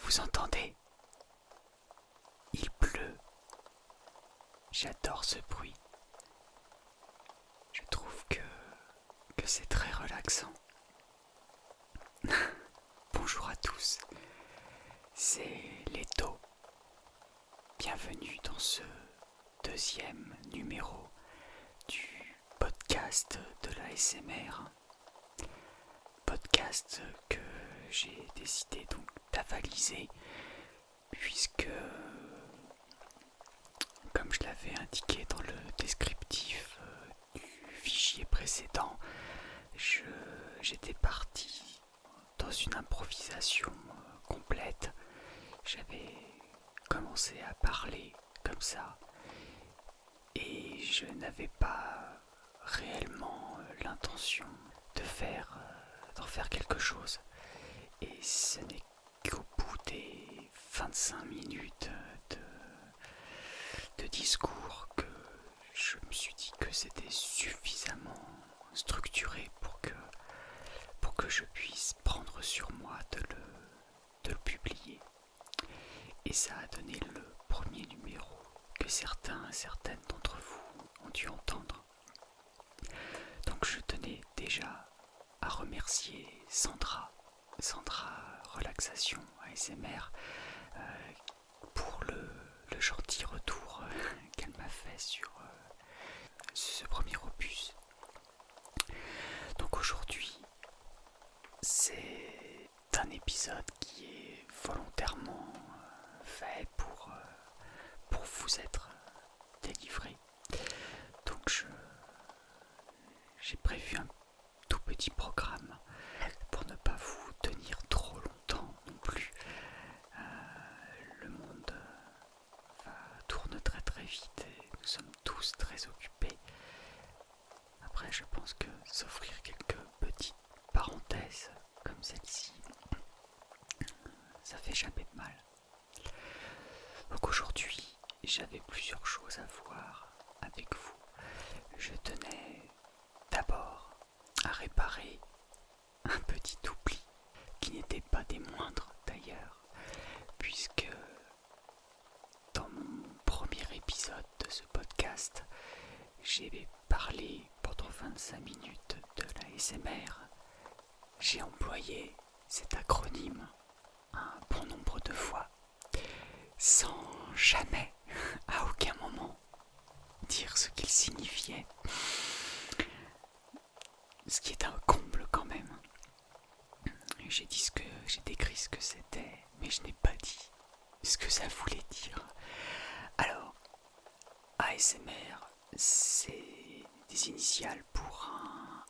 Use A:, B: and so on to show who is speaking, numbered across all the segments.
A: Vous entendez Il pleut. J'adore ce bruit. Je trouve que que c'est très relaxant. Bonjour à tous, c'est Leto. Bienvenue dans ce deuxième numéro du podcast de la SMR. Podcast que j'ai décidé donc d'avaliser puisque comme je l'avais indiqué dans le descriptif euh, du fichier précédent, j'étais parti dans une improvisation euh, complète. J'avais commencé à parler comme ça et je n'avais pas réellement euh, l'intention de faire d'en faire quelque chose. Et ce n'est au bout des 25 minutes de, discours, que je me suis dit que c'était suffisamment structuré pour que, pour que je puisse prendre sur moi de le, de le publier. Et ça a donné le premier numéro que certains, certaines d'entre vous ont dû entendre. Donc je tenais déjà à remercier Sandra Sandra Relaxation ASMR euh, pour le, gentil retour euh, qu'elle m'a fait sur euh, ce premier opus. Donc aujourd'hui, c'est un épisode qui est volontairement fait pour, pour vous être délivré. Donc je j'ai prévu un tout petit programme pour ne pas vous tenir trop longtemps non plus. Euh, le monde euh, tourne très très vite et nous sommes tous très occupés. Après, je pense que s'offrir quelques petites parenthèses comme celle-ci, ça fait jamais de mal. Donc aujourd'hui, j'avais plusieurs choses à voir avec vous, je tenais d'abord à réparer un petit oubli qui n'était pas des moindres d'ailleurs, puisque dans mon premier épisode de ce podcast, j'ai parlé pendant 25 minutes de la SMR. J'ai employé cet acronyme un bon nombre de fois sans jamais, à aucun moment, dire ce qu'il signifiait. Ce qui est un comble quand même. J'ai dit ce que j'ai décrit ce que c'était, mais je n'ai pas dit ce que ça voulait dire. Alors, ASMR, c'est des initiales pour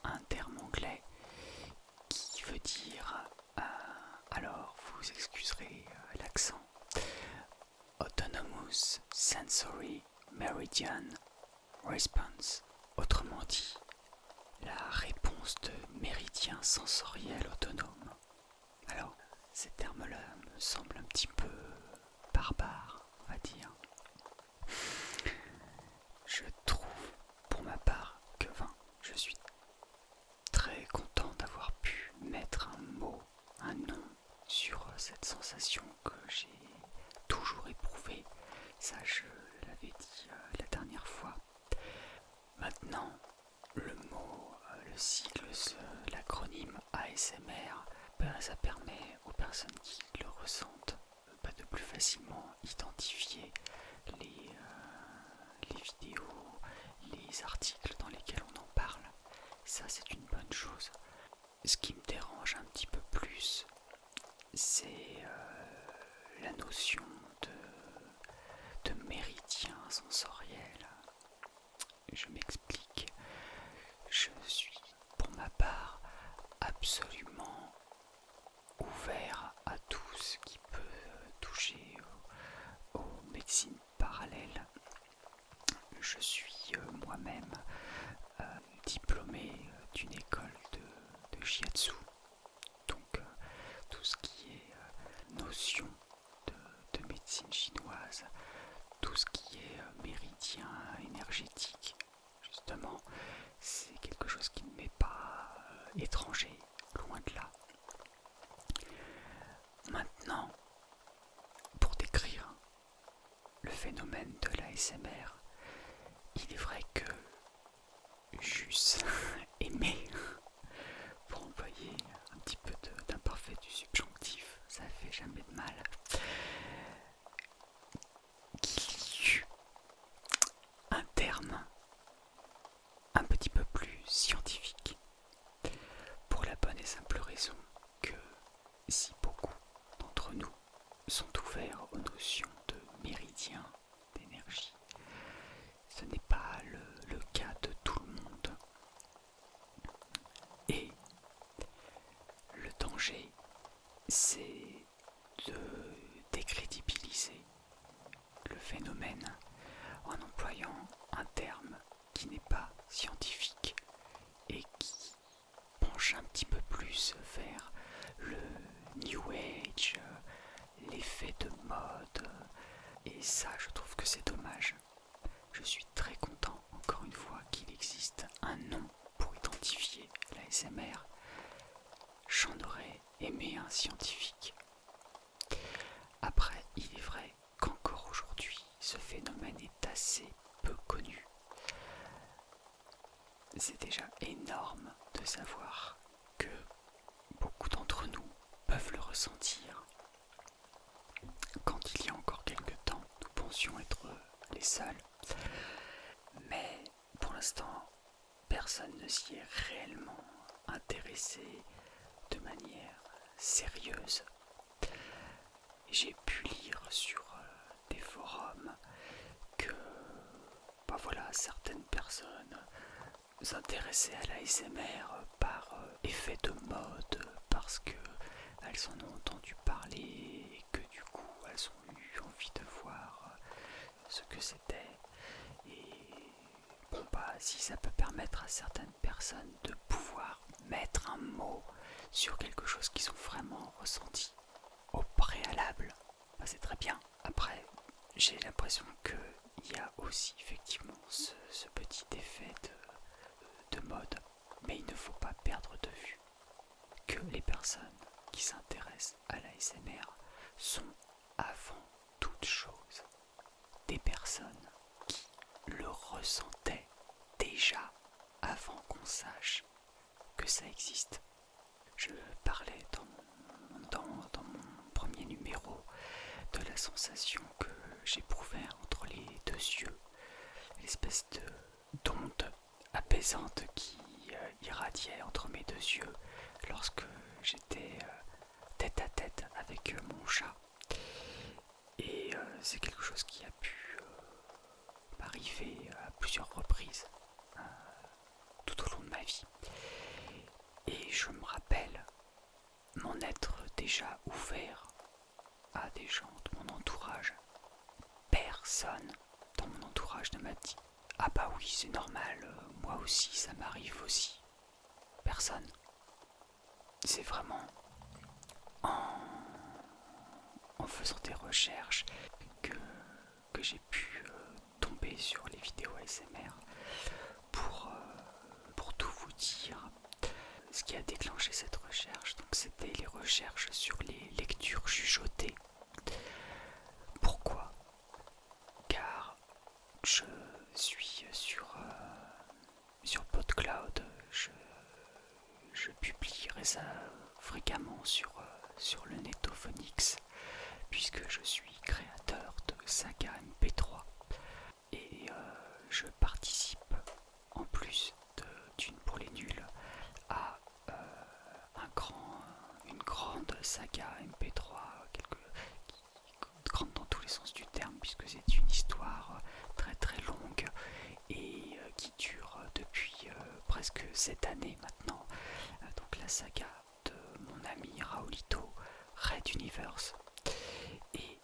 A: un, un terme anglais qui veut dire euh, alors, vous excuserez euh, l'accent. Autonomous Sensory Meridian Response. Autrement dit, la réponse de méridien sensoriel autonome. Alors, ces termes-là me semblent un petit peu barbares, on va dire. Je trouve, pour ma part, que 20 je suis très content d'avoir pu mettre un mot, un nom sur cette sensation que j'ai toujours éprouvée. Ça, je l'avais dit euh, la dernière fois. Maintenant, le mot, euh, le sigle, l'acronyme ASMR, ben, ça permet aux personnes qui le ressentent euh, ben, de plus facilement identifier les, les vidéos, les articles dans lesquels on en parle. Ça, c'est une bonne chose. Ce qui me dérange un petit peu plus, c'est euh, la notion de, de sensoriel. Je m'explique. Je suis, pour ma part, absolument ouvert à tout ce qui peut toucher aux, médecines parallèles. Je suis euh, moi-même euh, diplômé d'une école de, de donc euh, tout ce qui est notion de, de, médecine chinoise, tout ce qui est méridien énergétique, justement, c'est quelque chose qui ne m'est pas étranger loin de là. Maintenant, pour décrire le phénomène de l'ASMR, il est vrai que juste aimé, pour envoyer un petit peu d'imparfait du subjonctif, ça fait jamais de mal, qu'il y un terme un petit peu plus scientifique. Pour la bonne et simple raison que si beaucoup d'entre nous sont ouverts aux notions de méridien d'énergie, ce n'est pas le, cas de tout le monde. Et le danger, c'est de décrédibiliser le phénomène en employant un terme qui n'est pas scientifique et qui penche un petit peu plus vers le New Age, l'effet de mode. Et ça, je trouve que c'est dommage. Je suis très content, encore une fois, qu'il existe un nom pour identifier la SMR. J'en aurais aimer un scientifique. Après, il est vrai qu'encore aujourd'hui, ce phénomène est assez peu connu. C'est déjà énorme de savoir que beaucoup d'entre nous peuvent le ressentir. Quand il y a encore quelque temps, nous pensions être les seuls. Mais pour l'instant, personne ne s'y est réellement intéressé de manière sérieuse. J'ai pu lire sur euh, des forums que, bah voilà, certaines personnes s'intéressaient à l'ASMR par euh, effet de mode, parce que elles en ont entendu parler et que du coup elles ont eu envie de voir euh, ce que c'était. Et bon, bah, si ça peut permettre à certaines personnes de pouvoir mettre un mot sur quelque chose qui ont vraiment ressenti au préalable, bah, c'est très bien. Après, j'ai l'impression qu'il y a aussi effectivement ce, petit effet de, mode, mais il ne faut pas perdre de vue que les personnes qui s'intéressent à la SMR sont avant toutes chose des personnes qui le ressentaient déjà avant qu'on sache que ça existe. Je parlais dans mon, premier numéro de la sensation que j'éprouvais entre les deux yeux, l'espèce d'onde apaisante qui euh, irradiait entre mes deux yeux lorsque j'étais euh, tête à tête avec euh, mon chat. Et euh, c'est quelque chose qui a pu euh, m'arriver à plusieurs reprises tout au long de ma vie. Et je me rappelle Mon être déjà ouvert à des gens de mon entourage. Personne dans mon entourage ne m'a dit Ah bah oui, c'est normal, moi aussi, ça m'arrive aussi. Personne. C'est vraiment en, faisant des recherches que, j'ai pu euh, tomber sur les vidéos ASMR euh, pour, tout vous dire. Ce qui a déclenché cette recherche, donc c'était les recherches sur les lectures chuchotées. Pourquoi Car je suis sur, euh, sur PodCloud. Je, je publie ça fréquemment sur, euh, sur le Netophonix, puisque je suis créateur de Saga MP3 et euh, je participe en plus d'une pour les nuls à un une grande saga MP3 grande dans tous les sens du terme, puisque c'est une histoire euh, très très longue et euh, qui dure euh, depuis presque cette année maintenant. Donc la saga de mon ami Raulito, Red Universe. Et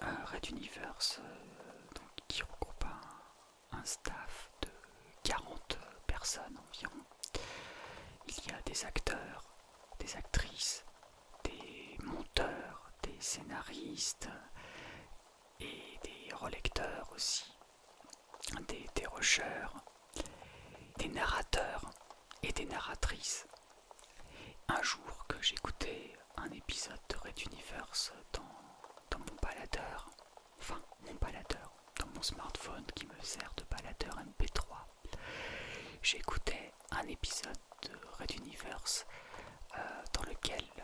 A: Red Universe, donc, qui regroupe un staff de 40 personnes environ il y a des acteurs, des actrices, des monteurs, des scénaristes et des relecteurs aussi, des dérocheurs, des narrateurs et des narratrices. Un jour que j'écoutais un épisode de Red Universe dans, mon paladeur, enfin mon baladeur, dans mon smartphone qui me sert de baladeur MP3. J'écoutais un épisode de Red Universe euh, dans lequel euh,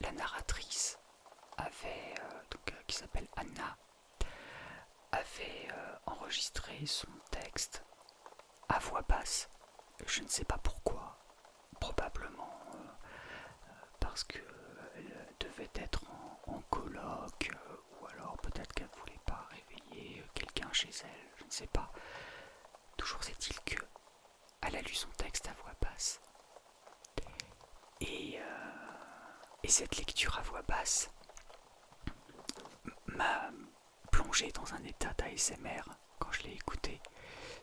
A: la narratrice avait, euh, qui s'appelle Anna, avait enregistré son texte à voix basse. Je ne sais pas pourquoi, probablement parce que devait être en, colloque ou alors peut-être qu'elle ne voulait pas réveiller euh, quelqu'un chez elle, je ne sais pas. Toujours est-il que elle a lu son texte à voix basse. Et, euh, cette lecture à voix basse m'a plongé dans un état d'ASMR quand je l'ai écouté.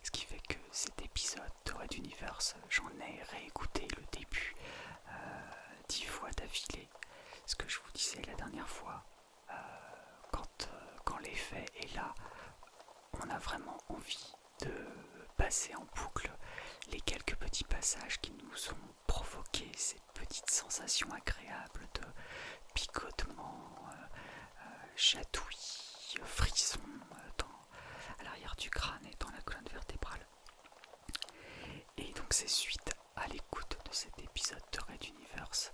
A: Ce qui fait que cet épisode de Red Universe, euh, j'en ai réécouté le début dix fois d'affilée ce que je vous disais la dernière fois. Euh, quand, euh, quand l'effet est là, on a vraiment envie de passer en boucle les quelques petits passages qui nous ont provoqué ces petites sensations agréables de picotement, euh, chatouillis frisson à l'arrière du crâne et dans la colonne vertébrale. Et donc c'est suite à l'écoute de cet épisode de Red Universe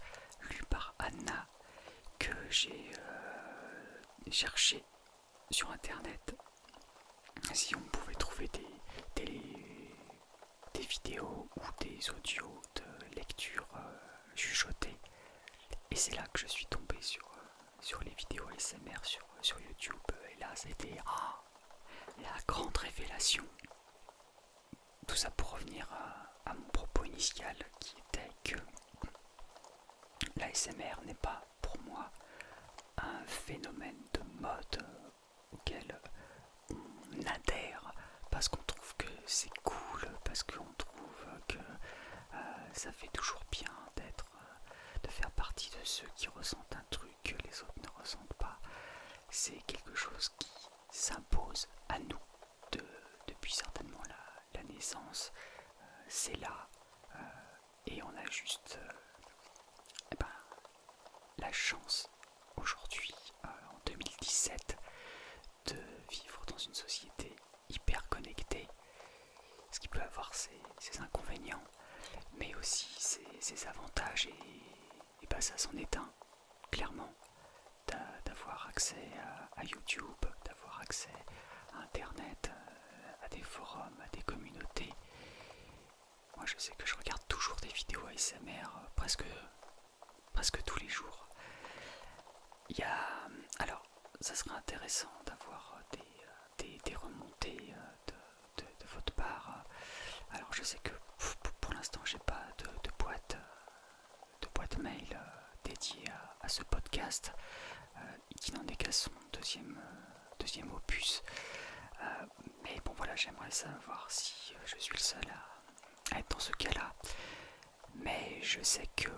A: lu par Anna que j'ai euh, cherché sur internet si on pouvait trouver des, vidéos ou des audios de lecture jugeotée euh, Et c'est là que je suis tombé sur, euh, les vidéos ASMR sur, sur YouTube. Et là, c'était ah, la grande révélation tout ça pour revenir à, mon propos initial qui était que l'ASMR n'est pas pour moi un phénomène de mode auquel on adhère parce qu'on trouve que c'est cool, parce qu'on trouve que euh, ça fait toujours bien d'être, euh, de faire partie de ceux qui ressentent un truc que les autres ne ressentent pas, c'est quelque chose qui s'impose à nous depuis certainement la, naissance. Euh, c'est là euh, et on a juste euh, eh ben, la chance aujourd'hui, en 2017, de vivre dans une société hyper connectée, ce qui peut avoir ses, inconvénients, mais aussi ses, ses avantages et et bah ça s'en éteint, clairement, d'avoir accès à, YouTube, d'avoir accès à Internet, euh, à des forums, à des communautés. Moi je sais que je regarde toujours des vidéos ASMR euh, presque, presque tous les jours. Il y a... Euh, alors, ça serait intéressant d'avoir des, des, des, remontées de de, votre part. Alors je sais que pour l'instant j'ai pas de, boîte de boîte mail euh, dédiée à, ce podcast euh, qui n'en est qu'à son deuxième, euh, deuxième opus. mais bon voilà, j'aimerais savoir si je suis le seul à être dans ce cas-là. Mais je sais que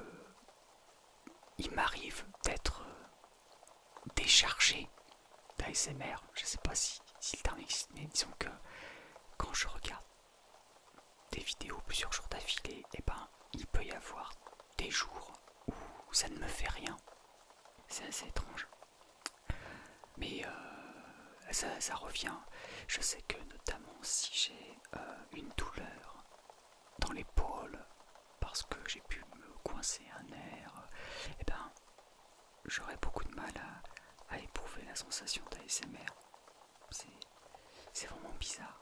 A: il m'arrive d'être déchargé d'ASMR. Je sais pas si, le terme existe, mais disons que quand je regarde des vidéos plusieurs jours d'affilée, et eh ben il peut y avoir des jours où ça ne me fait rien. C'est assez étrange. Mais euh, ça, revient. Je sais que notamment si j'ai euh, une douleur dans l'épaule parce que j'ai pu me coincer un nerf, et eh ben j'aurais beaucoup de mal à, éprouver la sensation d'ASMR. C'est vraiment bizarre.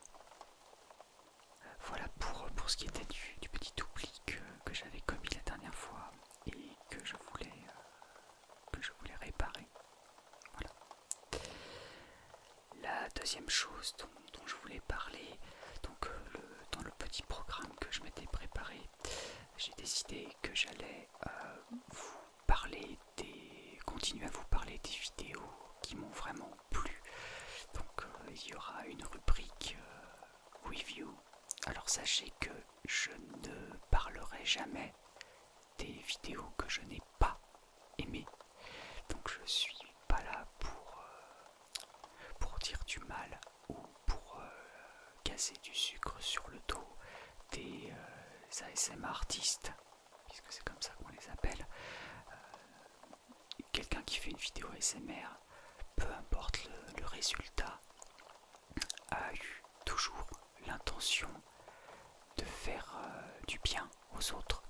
A: Euh, voilà pour, pour ce qui était du, du petit oubli que, j'avais commis la dernière fois et que je voulais, euh, que je voulais réparer. Voilà. La deuxième chose dont, je voulais parler, donc euh, dans le petit programme que je m'étais préparé, j'ai décidé que j'allais vous parler des. continuer à vous parler des vidéos qui m'ont vraiment plu. Donc euh, il y aura une rubrique euh, review. Alors sachez que je ne parlerai jamais des vidéos que je n'ai pas aimées. Donc je suis pas là pour, euh, pour dire du mal ou pour euh, casser du sucre sur le dos des euh, ASMR ASM artistes, puisque c'est comme ça qu'on les appelle. Euh, quelqu'un qui fait une vidéo ASMR, peu importe le, résultat, a eu toujours l'intention de faire du bien aux autres.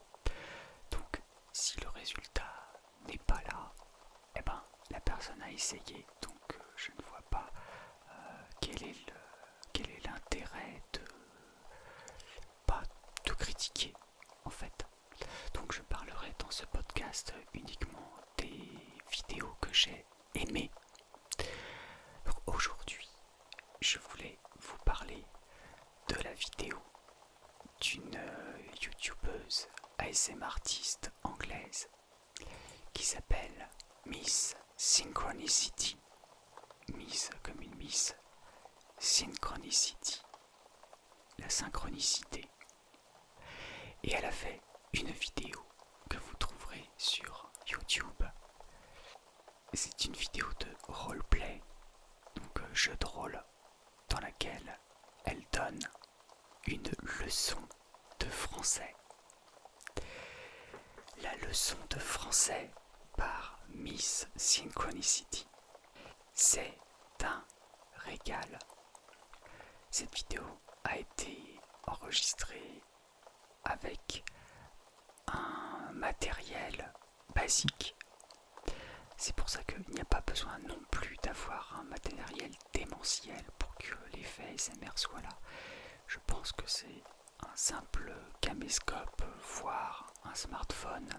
A: Donc si le résultat n'est pas là, et eh ben la personne a essayé, donc je ne vois pas euh, quel est l'intérêt de pas tout critiquer en fait. Donc je parlerai dans ce podcast uniquement des vidéos que j'ai aimées. Aujourd'hui, je voulais vous parler de la vidéo d'une euh, youtubeuse ASM artiste anglaise qui s'appelle Miss Synchronicity. Miss comme une Miss. Synchronicity. La synchronicité. Et elle a fait une vidéo que vous trouverez sur YouTube. C'est une vidéo de roleplay, donc euh, jeu de rôle, dans laquelle elle donne une leçon de français. La leçon de français par Miss Synchronicity. C'est un régal. Cette vidéo a été enregistrée avec un matériel basique. C'est pour ça qu'il n'y a pas besoin non plus d'avoir un matériel démentiel pour que l'effet SMR soit là. Je pense que c'est un simple caméscope, voire un smartphone.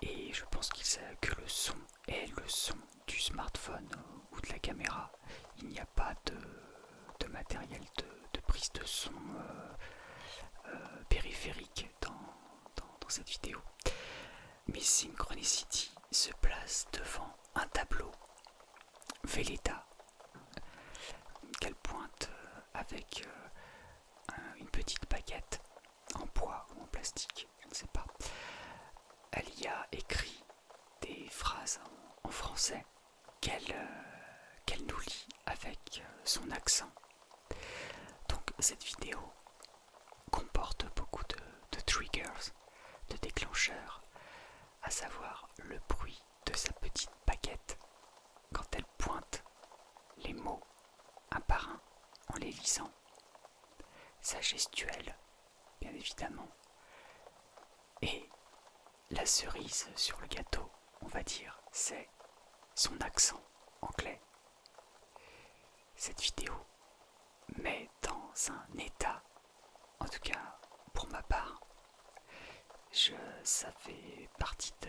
A: Et je pense sait que le son est le son du smartphone euh, ou de la caméra. Il n'y a pas de, matériel de, prise de son euh, euh, périphérique dans, cette vidéo. Mais Synchronicity se place devant un tableau Velleta qu'elle pointe euh, avec euh, une petite baguette en bois ou en plastique, je ne sais pas. Elle y a écrit des phrases en, français qu'elle euh, qu'elle nous lit avec son accent. Donc cette vidéo comporte beaucoup de, de triggers, de déclencheurs, à savoir le bruit de sa petite baguette quand elle pointe les mots un par un en les lisant. Sa gestuelle, bien évidemment. Et la cerise sur le gâteau, on va dire, c'est son accent anglais. Cette vidéo met dans un état en tout cas, pour ma part, je, ça fait partie de,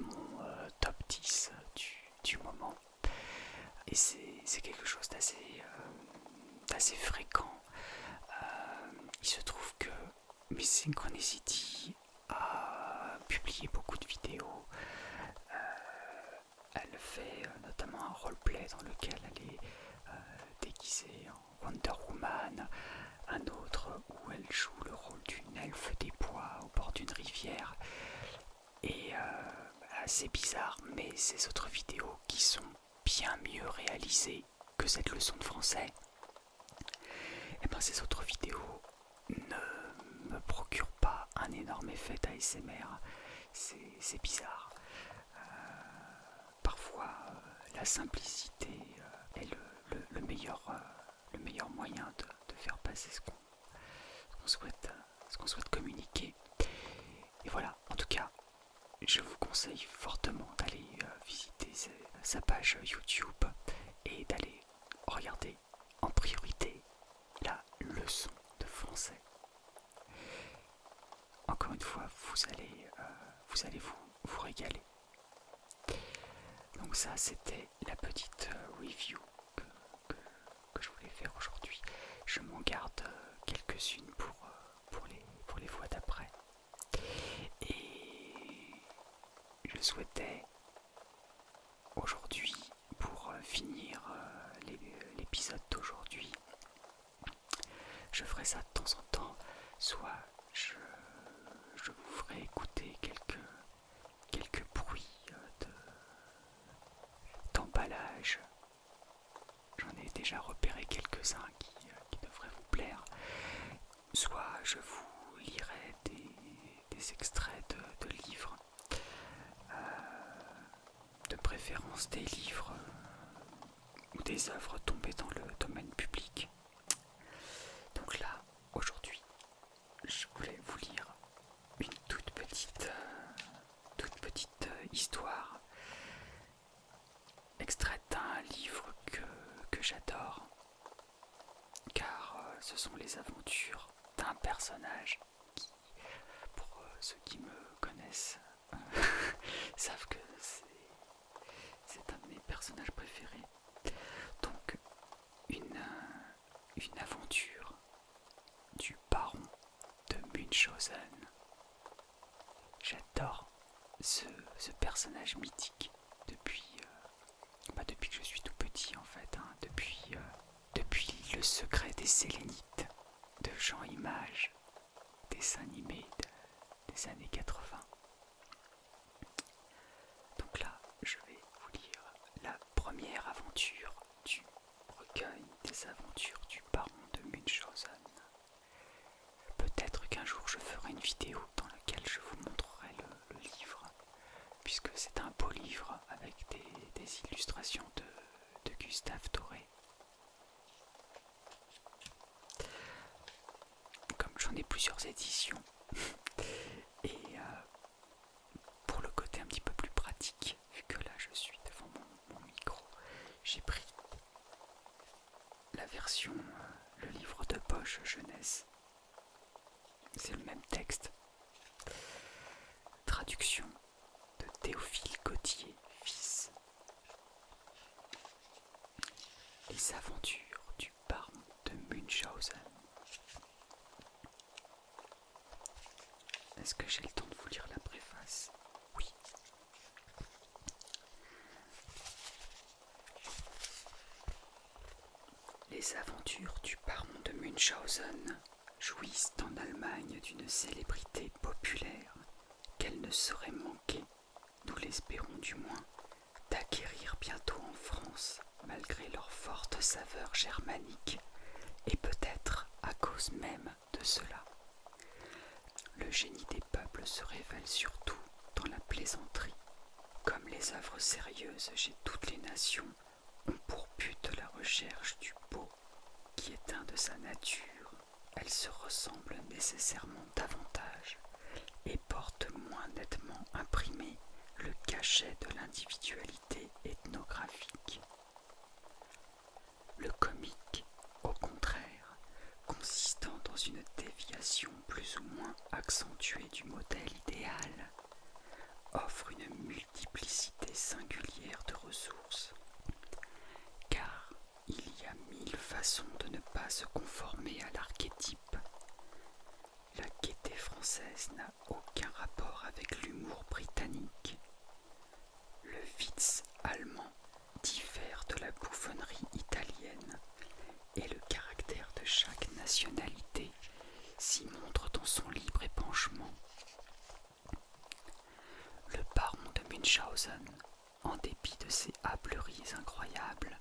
A: mon euh, top 10 du, moment. Et c'est quelque chose d'assez euh, fréquent. Euh, il se trouve que Miss Synchronicity a publié beaucoup de vidéos. elle fait notamment un roleplay dans lequel elle est déguisée en Wonder Woman, un autre où elle joue le rôle d'une elfe des bois au bord d'une rivière. Et euh, assez c'est bizarre, mais ces autres vidéos qui sont bien mieux réalisées que cette leçon de français, et eh bien ces autres vidéos ne me procurent pas un énorme effet ASMR. C'est bizarre. Euh, parfois euh, la simplicité euh, est le, meilleur, euh, le meilleur moyen de, faire passer ce qu'on souhaite, qu'on souhaite communiquer. Et voilà, en tout cas, je vous conseille fortement d'aller visiter sa page YouTube et d'aller regarder en priorité la leçon de français encore une fois, vous allez, euh, vous, régaler. Donc ça, c'était la petite euh, review que, je voulais faire aujourd'hui. Je m'en garde euh, quelques-unes pour, les, pour les fois d'après. Et je souhaitais aujourd'hui, pour finir l'épisode d'aujourd'hui, je ferai ça de temps en temps, soit je, vous ferai écouter quelques, bruits euh, d'emballage. J'en ai déjà repéré quelques-uns euh, qui, devraient vous plaire. Soit je vous lirai des, extraits de, livres. Euh, de préférence des livres ou des œuvres tombées dans le domaine public. Donc là, aujourd'hui, je voulais vous lire une toute petite, euh, toute petite euh, histoire extraite d'un livre que, j'adore, car euh, ce sont les aventures d'un personnage qui, pour ceux qui me connaissent, Sauf savent que c'est un de mes personnages préférés. Donc, une, une aventure du baron de Munchausen. J'adore ce, personnage mythique depuis, euh, bah, depuis que je suis tout petit en fait, hein, depuis, euh, depuis Le secret des Sélénites de Jean Image, dessin animé des années 80. Donc là, je vais vous lire la première aventure du recueil des aventures du baron de Munchausen. Peut-être qu'un jour je ferai une vidéo dans laquelle je vous montrerai le, livre, puisque c'est un beau livre avec des, illustrations de, de Gustave Doré comme j'en ai plusieurs éditions, et euh, pour le côté un petit peu plus pratique, vu que là je suis devant mon, micro, j'ai pris la version, euh, le livre de poche jeunesse. C'est le même texte. Traduction de Théophile Gautier, fils les aventures du baron de Munchausen. Est-ce que j'ai le temps de vous lire la préface Oui. Les aventures du baron de Munchausen jouissent en Allemagne d'une célébrité populaire qu'elle ne saurait manquer nous l'espérons du moins, d'acquérir bientôt en France, malgré leur forte saveur germanique, et peut-être à cause même de cela. Le génie des peuples se révèle surtout dans la plaisanterie, comme les œuvres sérieuses chez toutes les nations ont pour but la recherche du beau qui est un de sa nature elles se ressemblent nécessairement davantage et portent moins nettement imprimé le cachet de l'individualité ethnographique. Le comique, au contraire, consistant dans une déviation plus ou moins accentuée du modèle idéal, offre une multiplicité singulière de ressources, car il y a mille façons de ne pas se conformer à l'archétype. La gaieté française n'a aucun rapport avec l'humour britannique. Le Witz allemand diffère de la bouffonnerie italienne et le caractère de chaque nationalité s'y montre dans son libre épanchement. Le baron de Münchhausen en dépit de ses hâbleries incroyables,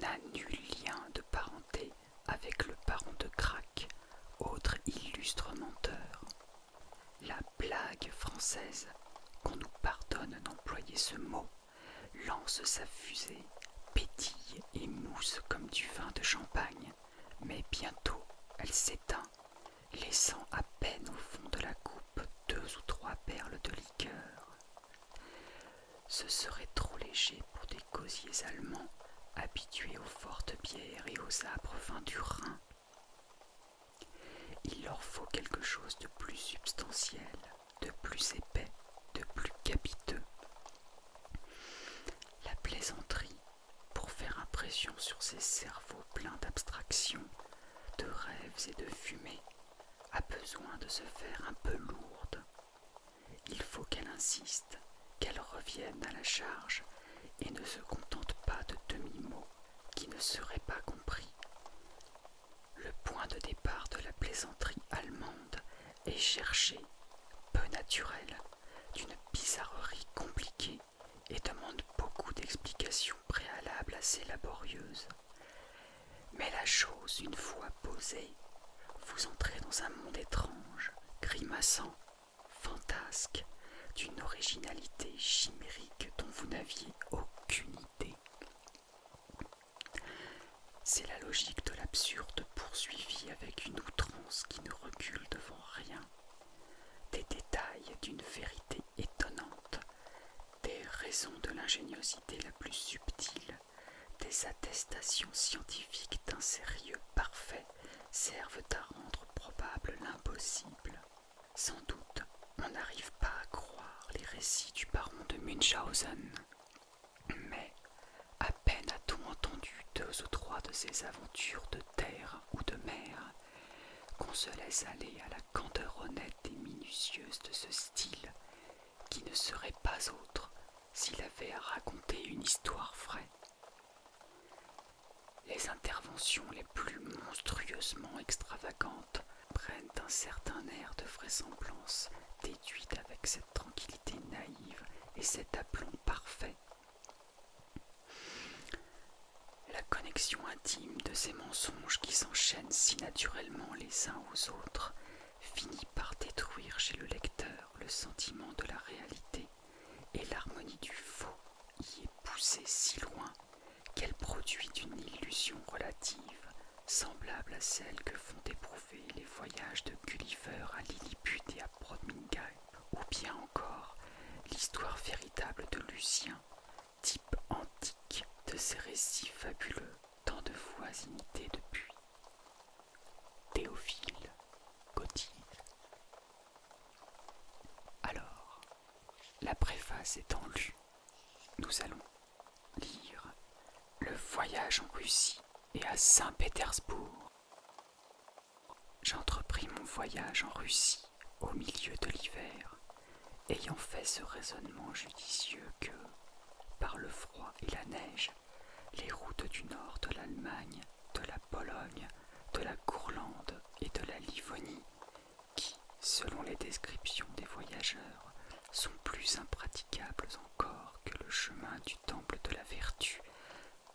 A: n'a nul lien de parenté avec le baron de Crac, autre illustre menteur. La blague française, qu'on nous pardonne d'employer ce mot, lance sa fusée, pétille et mousse comme du vin de champagne, mais bientôt elle s'éteint, laissant à peine au fond de la coupe deux ou trois perles de liqueur. Ce serait trop léger pour des gosiers allemands habitués aux fortes bières et aux arbres fins du Rhin. Il leur faut quelque chose de plus substantiel, de plus épais, de plus capiteux. La plaisanterie, pour faire impression sur ces cerveaux pleins d'abstractions, de rêves et de fumées a besoin de se faire un peu lourde. Il faut qu'elle insiste, qu'elle revienne à la charge et ne se contente pas de demi-mots qui ne seraient pas compris. Le point de départ de la plaisanterie allemande est cherché, peu naturel, d'une bizarrerie compliquée et demande beaucoup d'explications préalables assez laborieuses. Mais la chose, une fois posée, vous entrez dans un monde étrange, grimaçant, fantasque, d'une originalité chimérique dont vous n'aviez aucune idée. C'est la logique de l'absurde poursuivie avec une outrance qui ne recule devant rien, des détails d'une vérité étonnante des raisons de l'ingéniosité la plus subtile, des attestations scientifiques d'un sérieux parfait servent à rendre probable l'impossible. Sans doute, on n'arrive pas à croire les récits du baron de Münchhausen. Mais, à peine a-t-on entendu deux ou trois de ses aventures de terre ou de mer, qu'on se laisse aller à la candeur honnête et minutieuse de ce style qui ne serait pas autre s'il avait à raconter une histoire vraie. Les interventions les plus monstrueusement extravagantes prennent un certain air de vraisemblance déduite avec cette tranquillité naïve et cet aplomb parfait. La connexion intime de ces mensonges qui s'enchaînent si naturellement les uns aux autres finit par détruire chez le lecteur le sentiment de la réalité et l'harmonie du faux y est poussée si loin qu'elle produit une illusion relative semblable à celle que font éprouver les voyages de Gulliver à Lilliput et à Birmingham, ou bien encore l'histoire véritable de Lucien, type antique de ces récits fabuleux tant de fois imité depuis. Théophile Gautier. Alors, la préface étant lue, nous allons lire Le voyage en Russie et à Saint-Pétersbourg. J'entrepris mon voyage en Russie au milieu de l'hiver Ayant fait ce raisonnement judicieux que, par le froid et la neige, les routes du nord de l'Allemagne, de la Pologne, de la Courlande et de la Livonie, qui, selon les descriptions des voyageurs, sont plus impraticables encore que le chemin du temple de la vertu,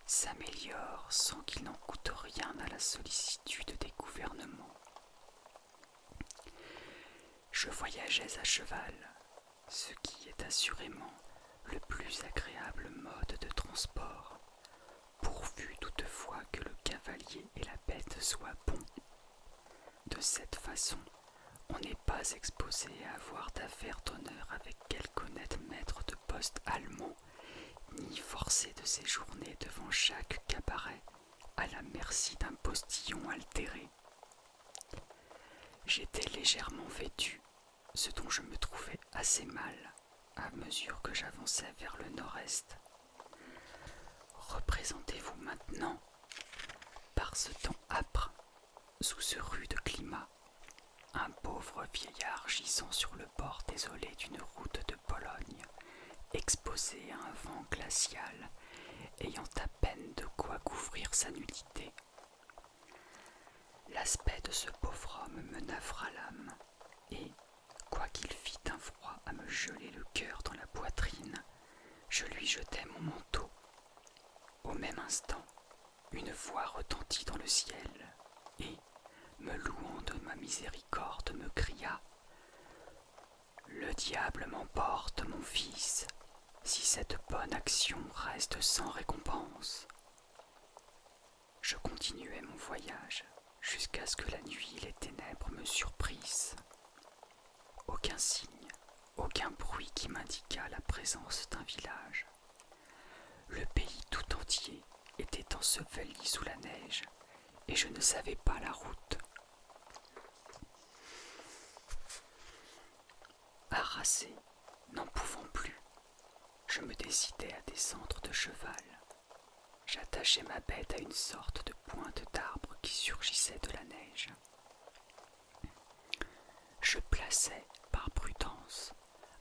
A: s'améliorent sans qu'il n'en coûte rien à la sollicitude des gouvernements. Je voyageais à cheval, ce qui est assurément le plus agréable mode de transport, pourvu toutefois que le cavalier et la bête soient bons. De cette façon, on n'est pas exposé à avoir d'affaires d'honneur avec quelque honnête maître de poste allemand, ni forcé de séjourner devant chaque cabaret à la merci d'un postillon altéré. J'étais légèrement vêtu, ce dont je me trouvais assez mal à mesure que j'avançais vers le nord-est. Représentez-vous maintenant, par ce temps âpre, sous ce rude climat, un pauvre vieillard gisant sur le bord désolé d'une route de Pologne, exposé à un vent glacial ayant à peine de quoi couvrir sa nudité. L'aspect de ce pauvre homme me navra l'âme, et, quoiqu'il fît un froid à me geler le cœur dans la poitrine, je lui jetai mon manteau. Au même instant, une voix retentit dans le ciel, et, me louant de ma miséricorde, me cria le diable m'emporte, mon fils, si cette bonne action reste sans récompense. Je continuai mon voyage jusqu'à ce que la nuit les ténèbres me surprissent. Aucun signe, aucun bruit qui m'indiquât la présence d'un village. Le pays tout entier était enseveli sous la neige, et je ne savais pas la route Harassé, n'en pouvant plus, je me décidai à descendre de cheval. J'attachai ma bête à une sorte de pointe d'arbre qui surgissait de la neige. Je plaçai, par prudence,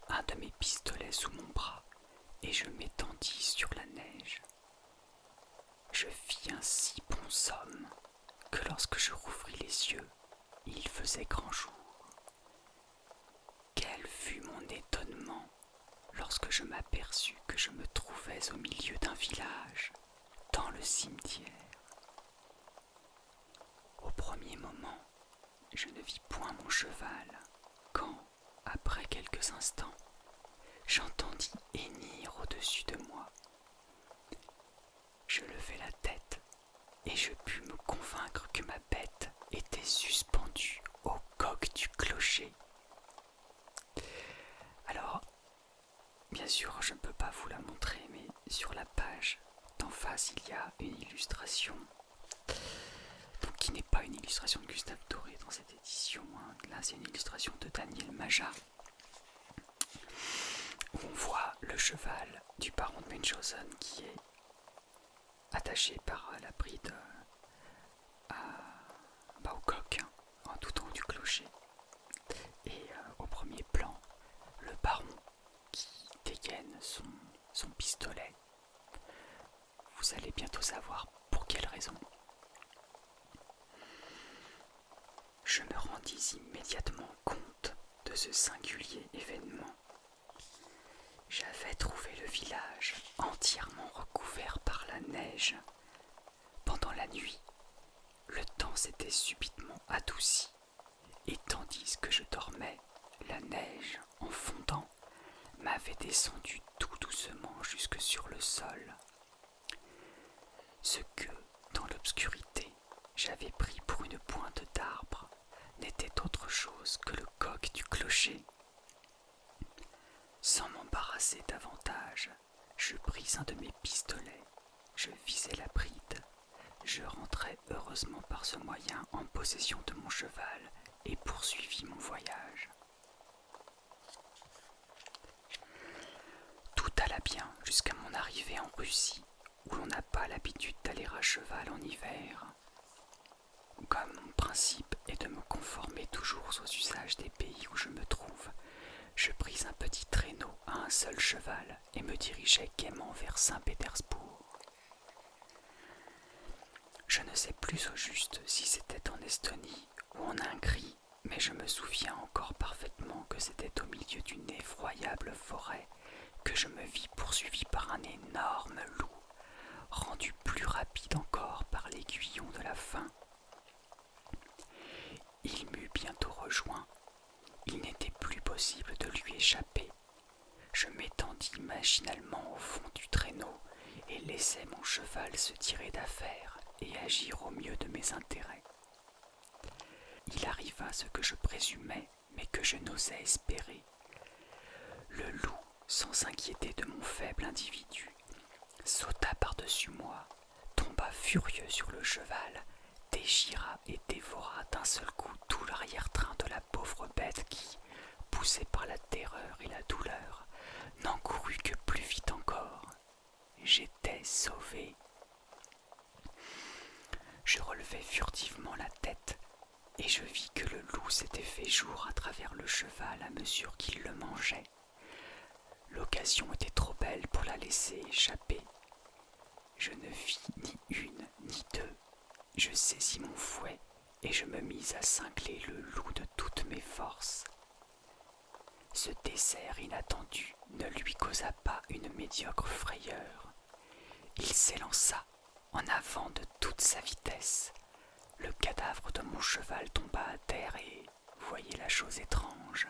A: un de mes pistolets sous mon bras et je m'étendis sur la neige. Je vis un si bon somme que lorsque je rouvris les yeux, il faisait grand jour. Quel fut mon étonnement lorsque je m'aperçus que je me trouvais au milieu d'un village, dans le cimetière. Au premier moment, je ne vis point mon cheval, quand, après quelques instants, j'entendis hennir au-dessus de moi je levais la tête et je pus me convaincre que ma bête était suspendue au coq du clocher. Alors, bien sûr, je ne peux pas vous la montrer, mais sur la page d'en face, il y a une illustration. qui n'est pas une illustration de Gustave Doré dans cette édition. Hein. Là, c'est une illustration de Daniel Majard on voit le cheval du baron de Munchausen qui est attaché par euh, la bride euh, à, au coq hein, en tout haut du clocher. Et euh, au premier plan, le baron qui dégaine son pistolet. Vous allez bientôt savoir pour quelle raison. Je me rendis immédiatement compte de ce singulier événement. J'avais trouvé le village entièrement recouvert par la neige. Pendant la nuit, le temps s'était subitement adouci, et tandis que je dormais, la neige, en fondant, m'avait descendu tout doucement jusque sur le sol. Ce que, dans l'obscurité, j'avais pris pour une pointe d'arbre n'était autre chose que le coq du clocher. Sans m'embarrasser davantage, je pris un de mes pistolets, je visais la bride, je rentrai heureusement par ce moyen en possession de mon cheval et poursuivis mon voyage. Tout alla bien jusqu'à mon arrivée en Russie, où l'on n'a pas l'habitude d'aller à cheval en hiver. Comme mon principe est de me conformer toujours aux usages des pays où je me trouve, je pris un petit traîneau à un seul cheval et me dirigeai gaiement vers Saint-Pétersbourg. Je ne sais plus au juste si c'était en Estonie ou en Hongrie mais je me souviens encore parfaitement que c'était au milieu d'une effroyable forêt que je me vis poursuivi par un énorme loup, rendu plus rapide encore par l'aiguillon de la faim. Il m'eut bientôt rejoint. Il n'était plus possible de lui échapper. Je m'étendis machinalement au fond du traîneau et laissai mon cheval se tirer d'affaire et agir au mieux de mes intérêts. Il arriva ce que je présumais, mais que je n'osais espérer. Le loup, sans s'inquiéter de mon faible individu, sauta par-dessus moi, tomba furieux sur le cheval, déchira et dévora d'un seul coup tout l'arrière-train de la pauvre bête qui, poussée par la terreur et la douleur, n'en courut que plus vite encore. J'étais sauvé. Je relevai furtivement la tête et je vis que le loup s'était fait jour à travers le cheval à mesure qu'il le mangeait. L'occasion était trop belle pour la laisser échapper. Je ne vis ni une ni deux. Je saisis mon fouet et je me mis à cingler le loup de toutes mes forces. Ce dessert inattendu ne lui causa pas une médiocre frayeur. Il s'élança en avant de toute sa vitesse. Le cadavre de mon cheval tomba à terre et, voyez la chose étrange,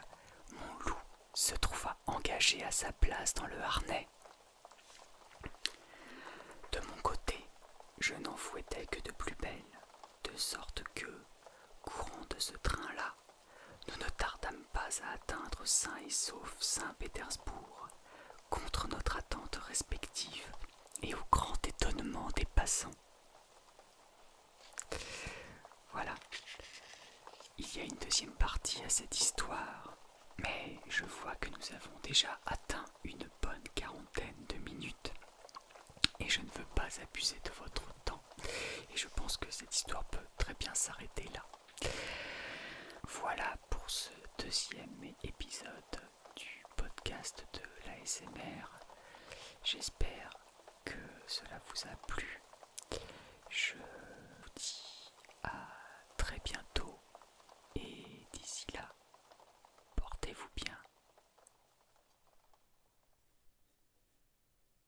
A: mon loup se trouva engagé à sa place dans le harnais. De mon côté, je n'en fouettais que de plus belle, de sorte que, courant de ce train-là, nous ne tardâmes pas à atteindre saint et Sauf Saint-Pétersbourg, contre notre attente respective et au grand étonnement des passants. Voilà. Il y a une deuxième partie à cette histoire, mais je vois que nous avons déjà atteint une bonne quarantaine de minutes. Et je ne veux pas abuser de votre temps. Et je pense que cette histoire peut très bien s'arrêter là. Voilà pour ce deuxième épisode du podcast de l'ASMR. J'espère que cela vous a plu. Je vous dis à très bientôt et d'ici là, portez-vous bien.